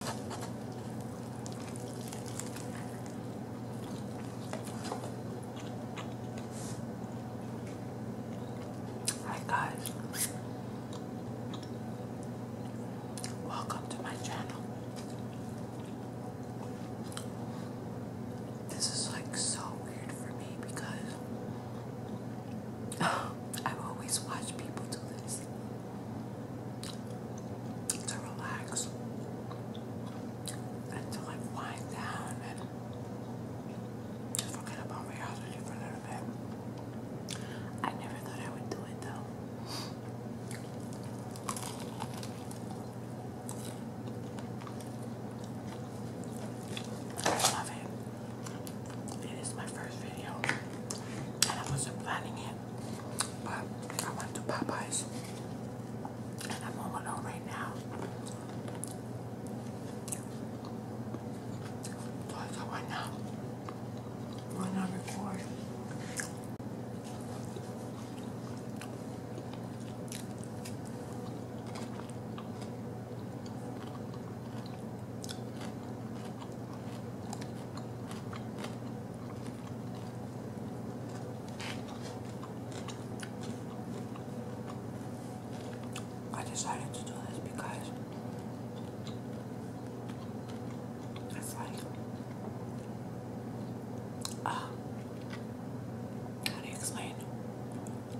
Hi guys, welcome to my channel. This is like so weird for me because I've always watched people do this to relax until I wind down and forget about reality for a little bit. I never thought I would do it though. love it. It is my first video, and I wasn't planning it. I went to Popeyes and I'm all alone right now. So I thought, why not? Why not I decided to do this because it's like um, how do you explain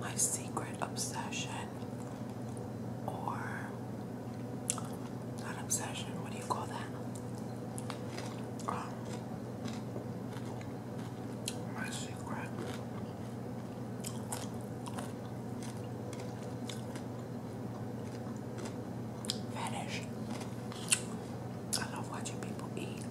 my secret obsession or not obsession, what do you call that? Um, my secret. Fetish. I love watching people eat.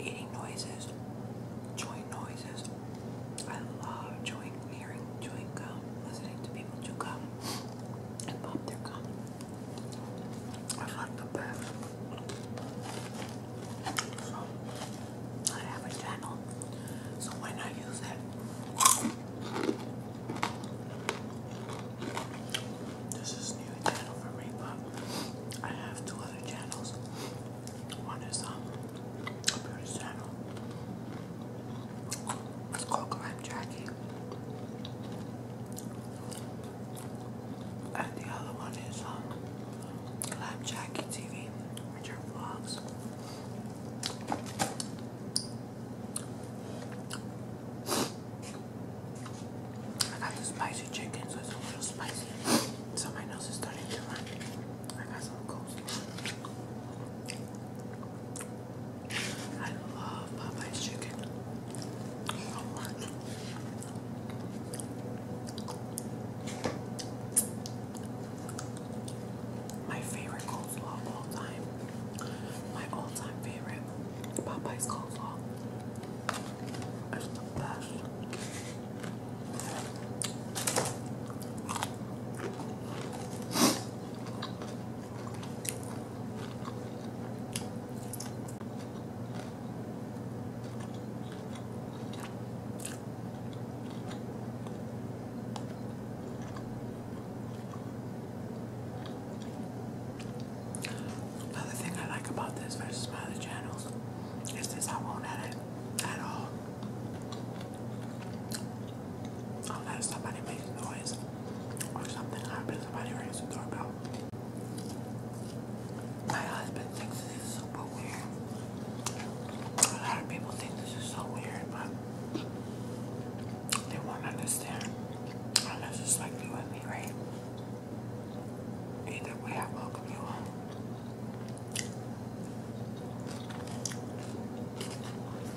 Eating noises, chewing noises. I love chewing hearing chewing listening to people chew and pop their gum. I like the best. I have a channel, so why not use it? This is new channel for me, but I have two other channels. One is um, a British channel, coconut jackie. And the other one is um, TV, which are vlogs. I got the spicy chicken, so it's a little spicy. So my nose is starting to run. I got some cold. I love Popeye's chicken My favorite coleslaw of all time. My all-time favorite Popeye's coleslaw. It's the best. Another thing I like about this versus other channels is this I won't edit at all unless somebody makes noise or something happens, somebody rings the doorbell. My husband thinks this is super weird. A lot of people think this is so weird, but they won't understand unless it's like you and me, right? Either way, I welcome you home.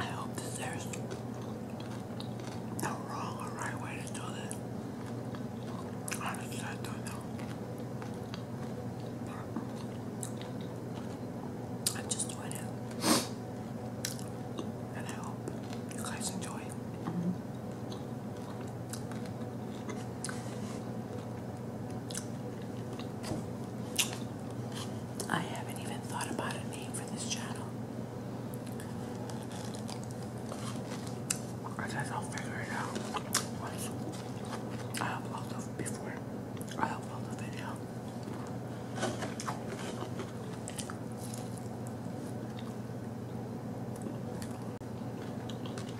I hope that there's no wrong or right way to do this. Honestly, I don't know. I just doing it. And I hope you guys enjoy I haven't even thought about a name for this channel. I guess I'll figure it out once I upload before I upload the video.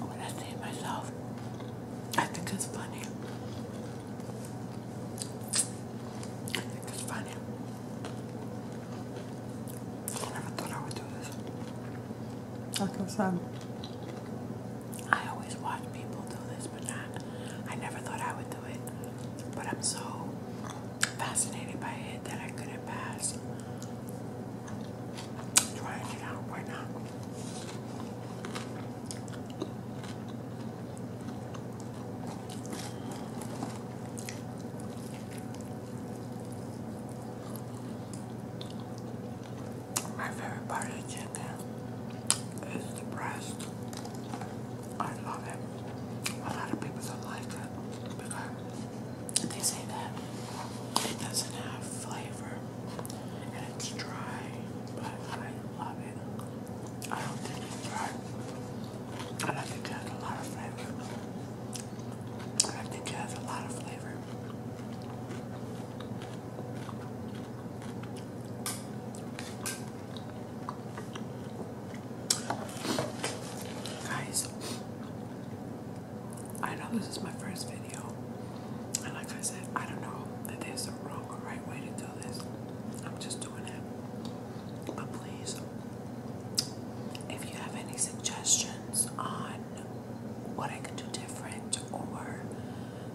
When I see myself, I think it's funny. I think it's funny. I never thought I would do this. Like I said, I always watch people do this, I never thought I would do it, but I'm so fascinated by it that I couldn't pass. I'm trying out right now. My favorite part of chicken is the breast. I love it. A lot of people don't like it because they say that it doesn't have flavor and it's dry, but I love it. I don't think it's dry. I think it has a lot of flavor. I think it has a lot of flavor. Guys, I know this is my first video, and like I said, I don't know that there's a wrong or right way to do this. I'm just doing it. But please, if you have any suggestions on what I could do different or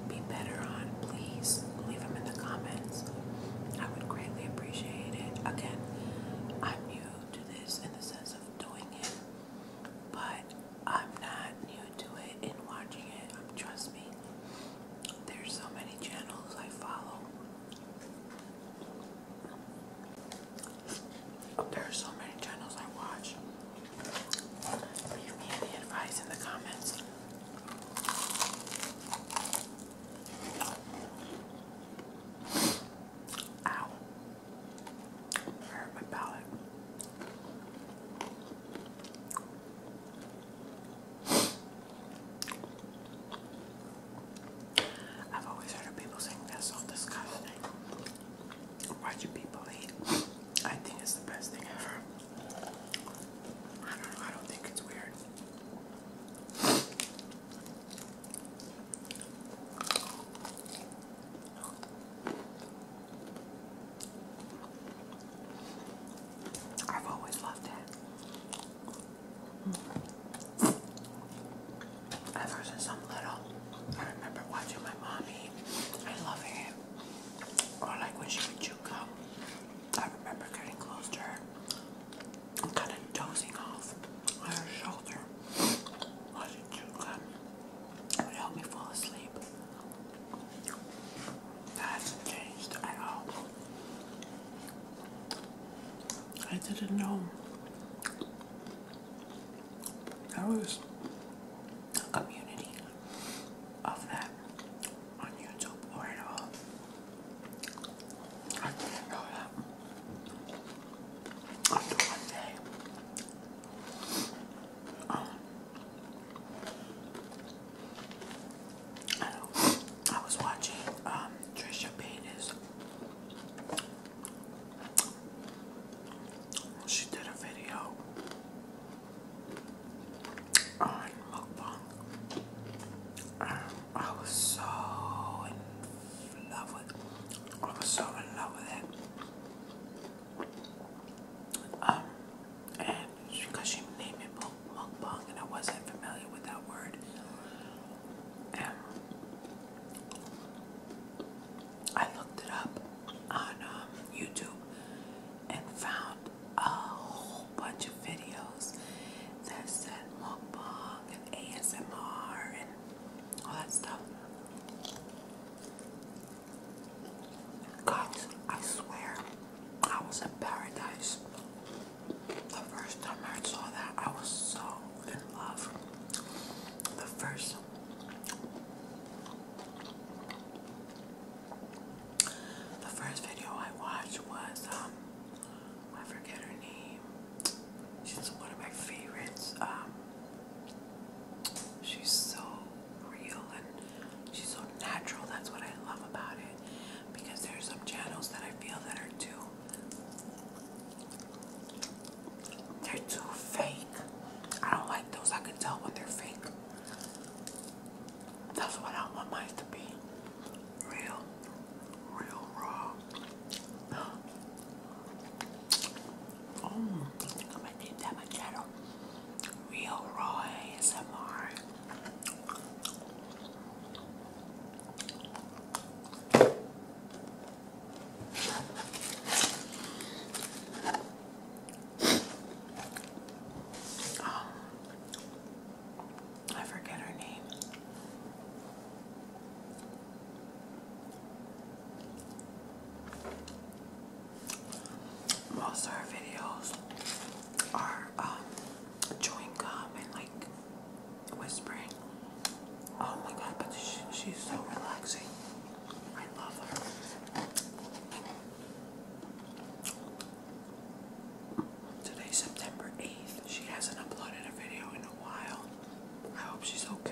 be better on, please leave them in the comments. I would greatly appreciate Again, I'm new to this in the sense of doing it, but I'm not new to it in watching it. Um, trust me, there's so many channels I follow. There are so many channels I watch. Leave me any advice in the comments. Ow. I hurt my palate. I've always heard people saying that's so disgusting. Watching people eat, I think it's the best thing ever. I don't know, I don't think it's weird. I've always loved it. Mm. Ever since little, I remember watching my mommy. I it. Or like when she would chew gum. I remember getting close to her I'm kind of dozing off on her shoulder. Why did you come? would help me fall asleep. That hasn't changed I didn't know. I was a community of that on YouTube or at all. I After one day. Um, I was watching um, Trisha Paytas. She did a video on mukbang. Um, I was so in love with I was so in love with it. Um and because she named it Pong, and I wasn't familiar with that word. I looked it up on um, YouTube and found a whole bunch of videos that said mukbang and ASMR and all that stuff. Guys, I swear, I was in paradise. The first time I saw that, I was so in love. The first the first video I watched was um I forget her name. She's one of my favorites. Um, she's so real and she's so natural. That's what I love about it. Because there some channels that I feel that are too they're too fake. I don't like those. I can tell what they're fake. That's what I want mine to be. Real, real raw. Oh, I'm gonna need that machado. Real raw ASMR. Um, I forget her name. Most her videos are um, chewing gum and like whispering. Oh my god, but she's so relaxing. I love her. Today, September 8th. She hasn't uploaded a video in a while. I hope she's okay.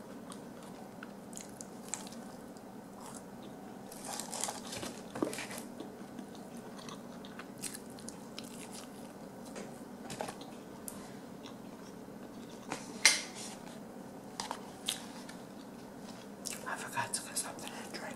I forgot to get something to drink.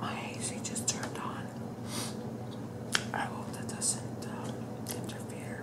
My AC just turned on. I hope that doesn't uh, interfere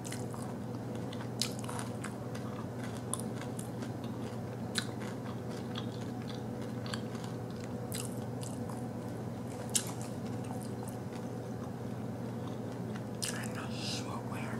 I know smoke where.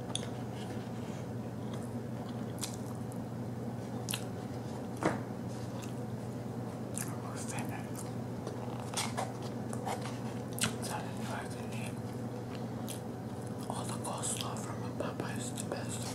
We're finished. Satisfying me. All the coleslaw from a papa is the best.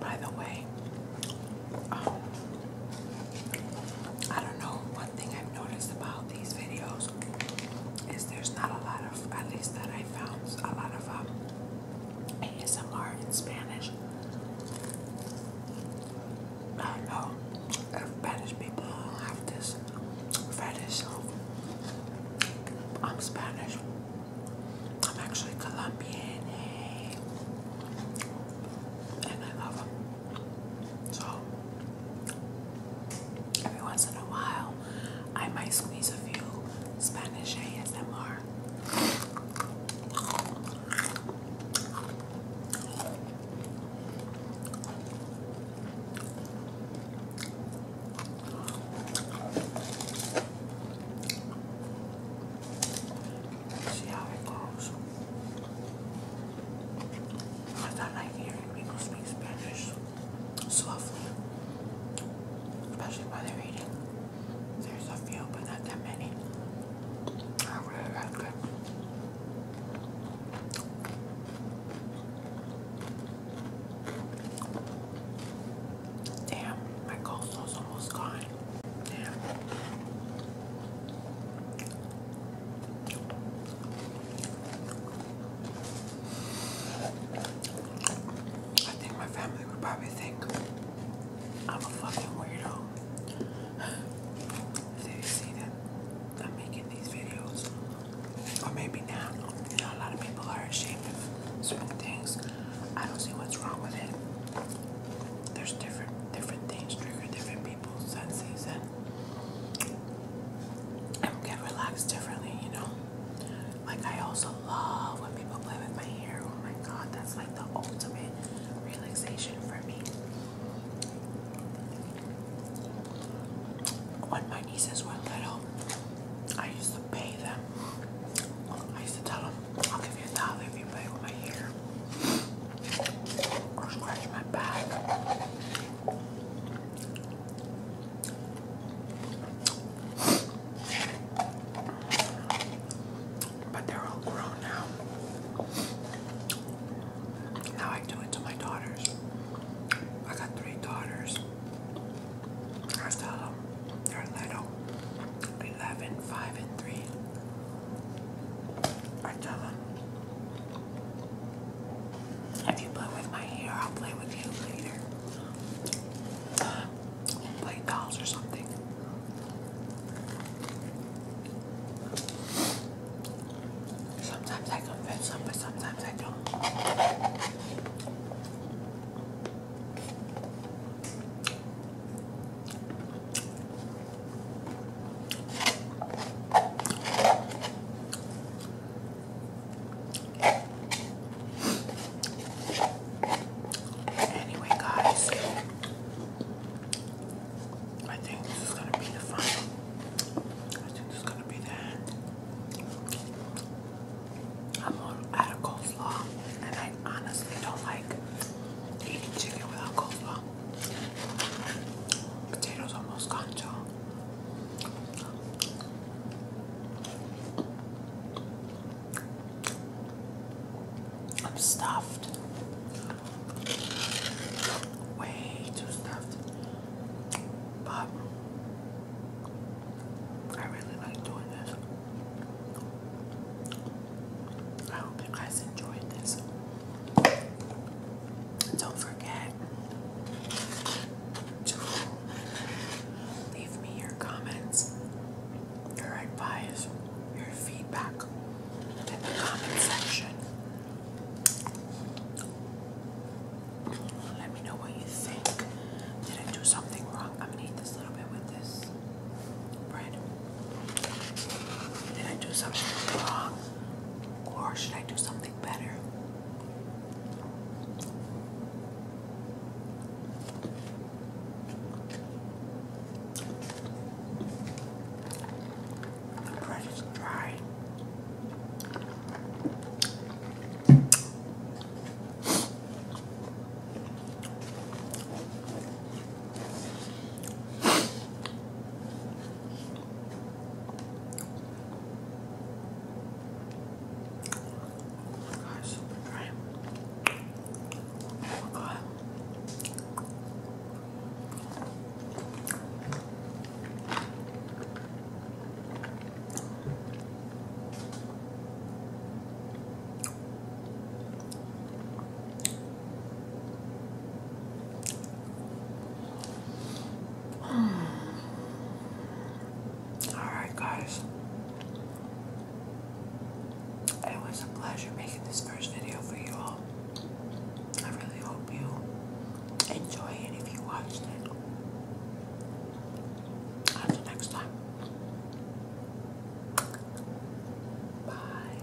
By the way, um, I don't know. One thing I've noticed about these videos is there's not a lot of, at least that I found, a lot of um, ASMR in Spanish. I know Spanish people have this fetish. I'm Spanish. I'm actually Colombian. And I love them. So, every once in a while, I might squeeze a few Spanish ASMR. See how it goes. Because I like hearing people speak Spanish softly, especially by the reading. There's a few, but not that many. I Damn, my coleslaw's almost gone. Damn. I think my family would probably think I'm a fucking weirdo so you see that I'm making these videos, or maybe now, you know, a lot of people are ashamed of certain things. I don't see what's wrong with it. There's different different things trigger different people's senses, and and get relaxed differently, you know. Like I also love when people play with my hair. Oh my god, that's like the ultimate relaxation for me. When my nieces were little, I used to pay them. I used to tell them, I'll give you a dollar if you play with my hair or scratch my back but they're all grown now. Now I do it to my daughters. I got three daughters. I tell them they're little 11, and 3. I tell them, if you play with my hair, I'll play with you later. play dolls or something. Sometimes I confess them, but sometimes I don't. Anyway, guys, I think this is gonna be the final. I think this is gonna be the I'm on out of coleslaw, and I honestly don't like eating chicken without coleslaw. Potatoes almost gone, you I'm stuffed way too stuffed, but I really like doing this. I hope you guys enjoyed this. Don't forget to leave me your comments your advice, your feedback in the comment section. Let me know what you think. Did I do something wrong? I'm gonna eat this little bit with this bread. Did I do something wrong? Or should I do something better? The bread is dry. Oh my God, super dry. Alright, guys. It was a pleasure making this first video for you all. I really hope you enjoy it if you watched it. Until next time. Bye.